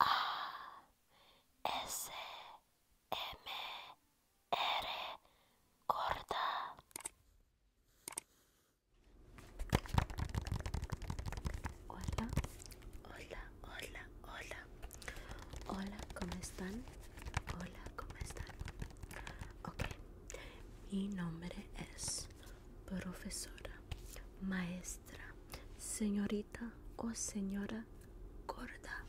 A S M R corta. Hola, hola, hola, hola. Hola, ¿cómo están? Hola, ¿cómo están? Ok, mi nombre es profesora, maestra, señorita o señora gorda.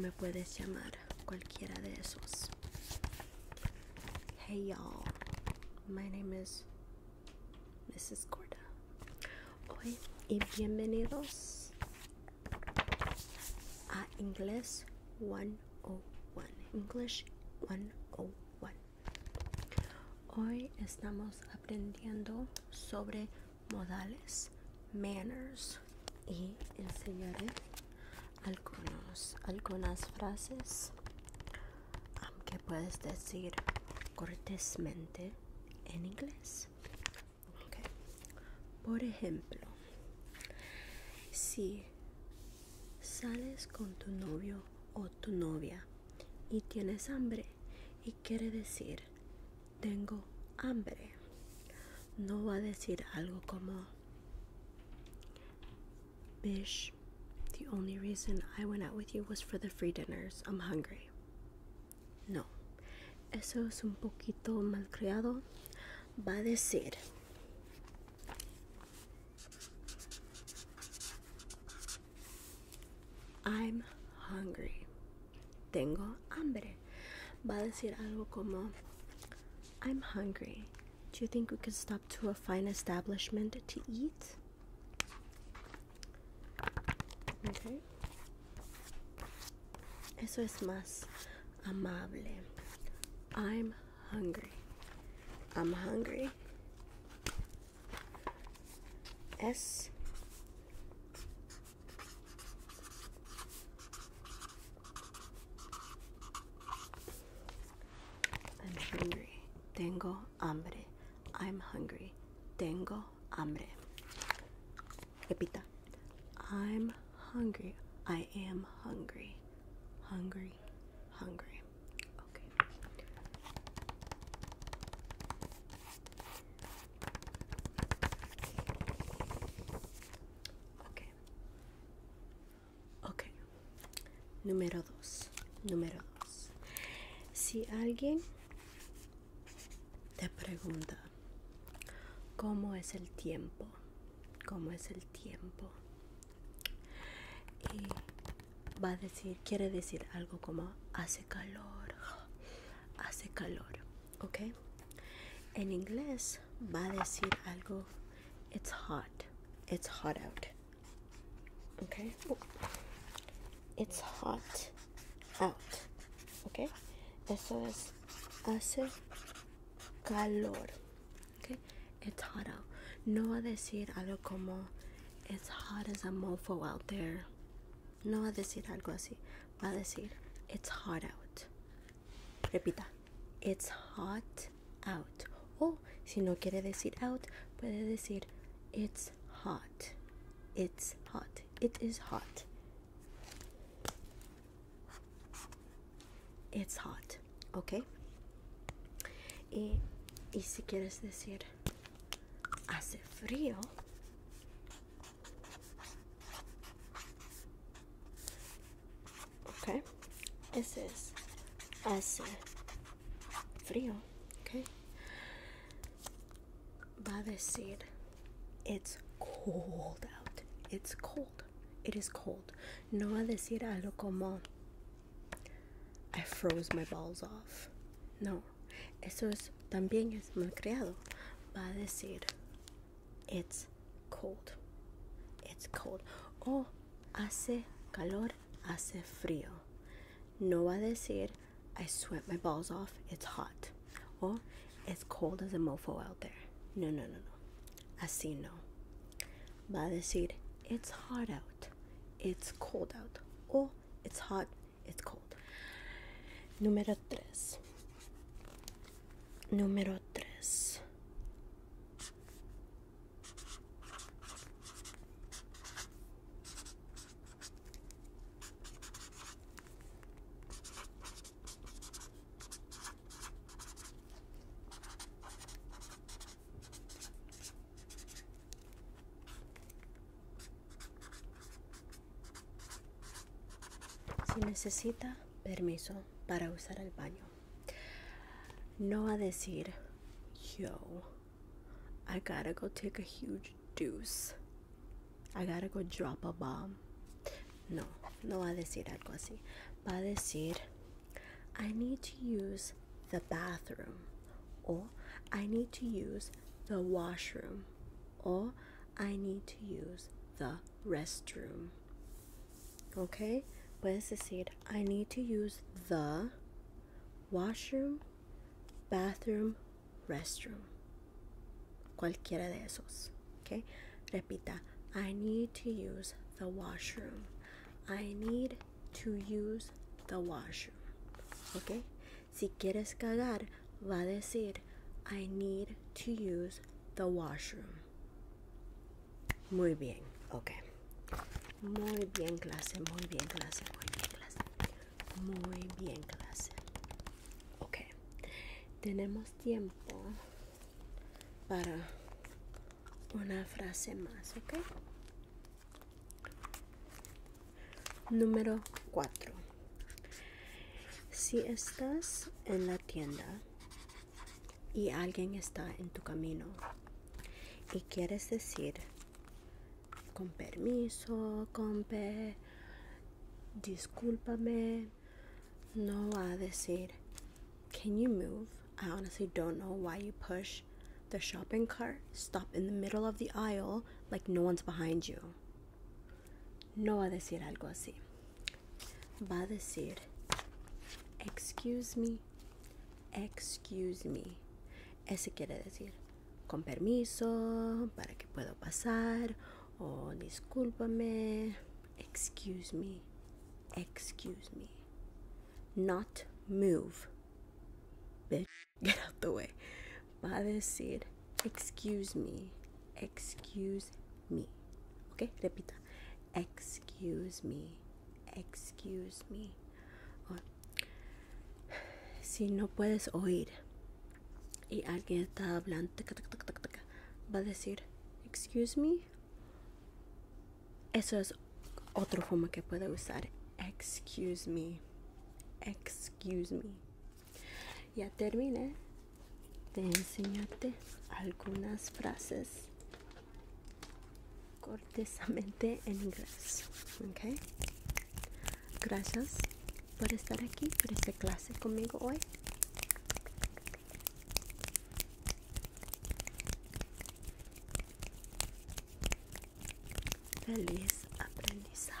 Me puedes llamar cualquiera de esos. Hey y'all, my name is Mrs. Gorda. Hoy y bienvenidos a Inglés 101. English 101. Hoy estamos aprendiendo sobre modales, manners y enseñaré algunas frases que puedes decir cortésmente en inglés. Por ejemplo, si Sales con tu novio o tu novia y tienes hambre y quiere decir tengo hambre. No va a decir algo como Bish, the only reason I went out with you was for the free dinners. I'm hungry. No. Eso es un poquito malcriado. Va a decir I'm hungry. Tengo hambre. Va a decir algo como I'm hungry. Do you think we could stop to a fine establishment to eat? Okay. Eso es más amable. I'm hungry. I'm hungry. S. I'm hungry. Tengo hambre. I'm hungry. Tengo hambre. Repita. I'm hungry. I am hungry. Hungry. hungry. Okay. Okay. Número dos. Número dos. Si alguien te pregunta, ¿cómo es el tiempo? ¿Cómo es el tiempo? y va a decir quiere decir algo como hace calor hace calor ok en inglés va a decir algo it's hot it's hot out ¿ok? it's hot out ¿ok? eso es hace calor. Okay? It's hot out. No va a decir algo como it's hot as a mofo out there. No va a decir algo así. Va a decir it's hot out. Repita. It's hot out. Oh, si no quiere decir out, puede decir it's hot. It's hot. It is hot. It's hot, ¿ok? Y, si quieres decir hace frío, okay. Ese es hace frío, okay. Va a decir It's cold out. It's cold. It is cold. No a decir algo como I froze my balls off. No. Eso es también es malcriado. Va a decir it's cold. It's cold. Oh, hace calor, hace frío. No va a decir I sweat my balls off. It's hot. Or it's cold as a mofo out there. No, no, no, no. Así no. Va a decir, it's hot out. It's cold out. O it's hot, it's cold. Número tres. Número tres. Si necesita permiso para usar el baño, no va a decir, yo, I gotta go take a huge deuce. I gotta go drop a bomb. No, no va a decir algo así. Va a decir, I need to use the bathroom. Or, I need to use the washroom. Or, I need to use the restroom. Okay? ¿where's the decir, I need to use the washroom, bathroom, restroom. Cualquiera de esos. ¿okay? Repita, I need to use the washroom. I need to use the washroom. ¿Ok? Si quieres cagar, va a decir, I need to use the washroom. Muy bien, ok. Muy bien, clase, muy bien, clase, muy bien, clase. Muy bien, clase. Ok, tenemos tiempo para una frase más, ¿ok? Número 4. Si estás en la tienda y alguien está en tu camino y quieres decir con permiso, con pe, discúlpame. No va a decir, can you move? I honestly don't know why you push the shopping cart, stop in the middle of the aisle like no one's behind you. No va a decir algo así. Va a decir, excuse me, excuse me. Ese quiere decir, con permiso, para que pueda pasar, o discúlpame, excuse me, excuse me, not move, get out the way. Va a decir, excuse me, excuse me, ok, repita, excuse me, excuse me. Si no puedes oír y alguien está hablando, va a decir, excuse me. Eso es otro forma que puede usar. Excuse me. Excuse me. Ya terminé de enseñarte algunas frases mente en inglés. Okay. Gracias por estar aquí, por esta clase conmigo hoy. Feliz aprendizaje.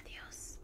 Adiós.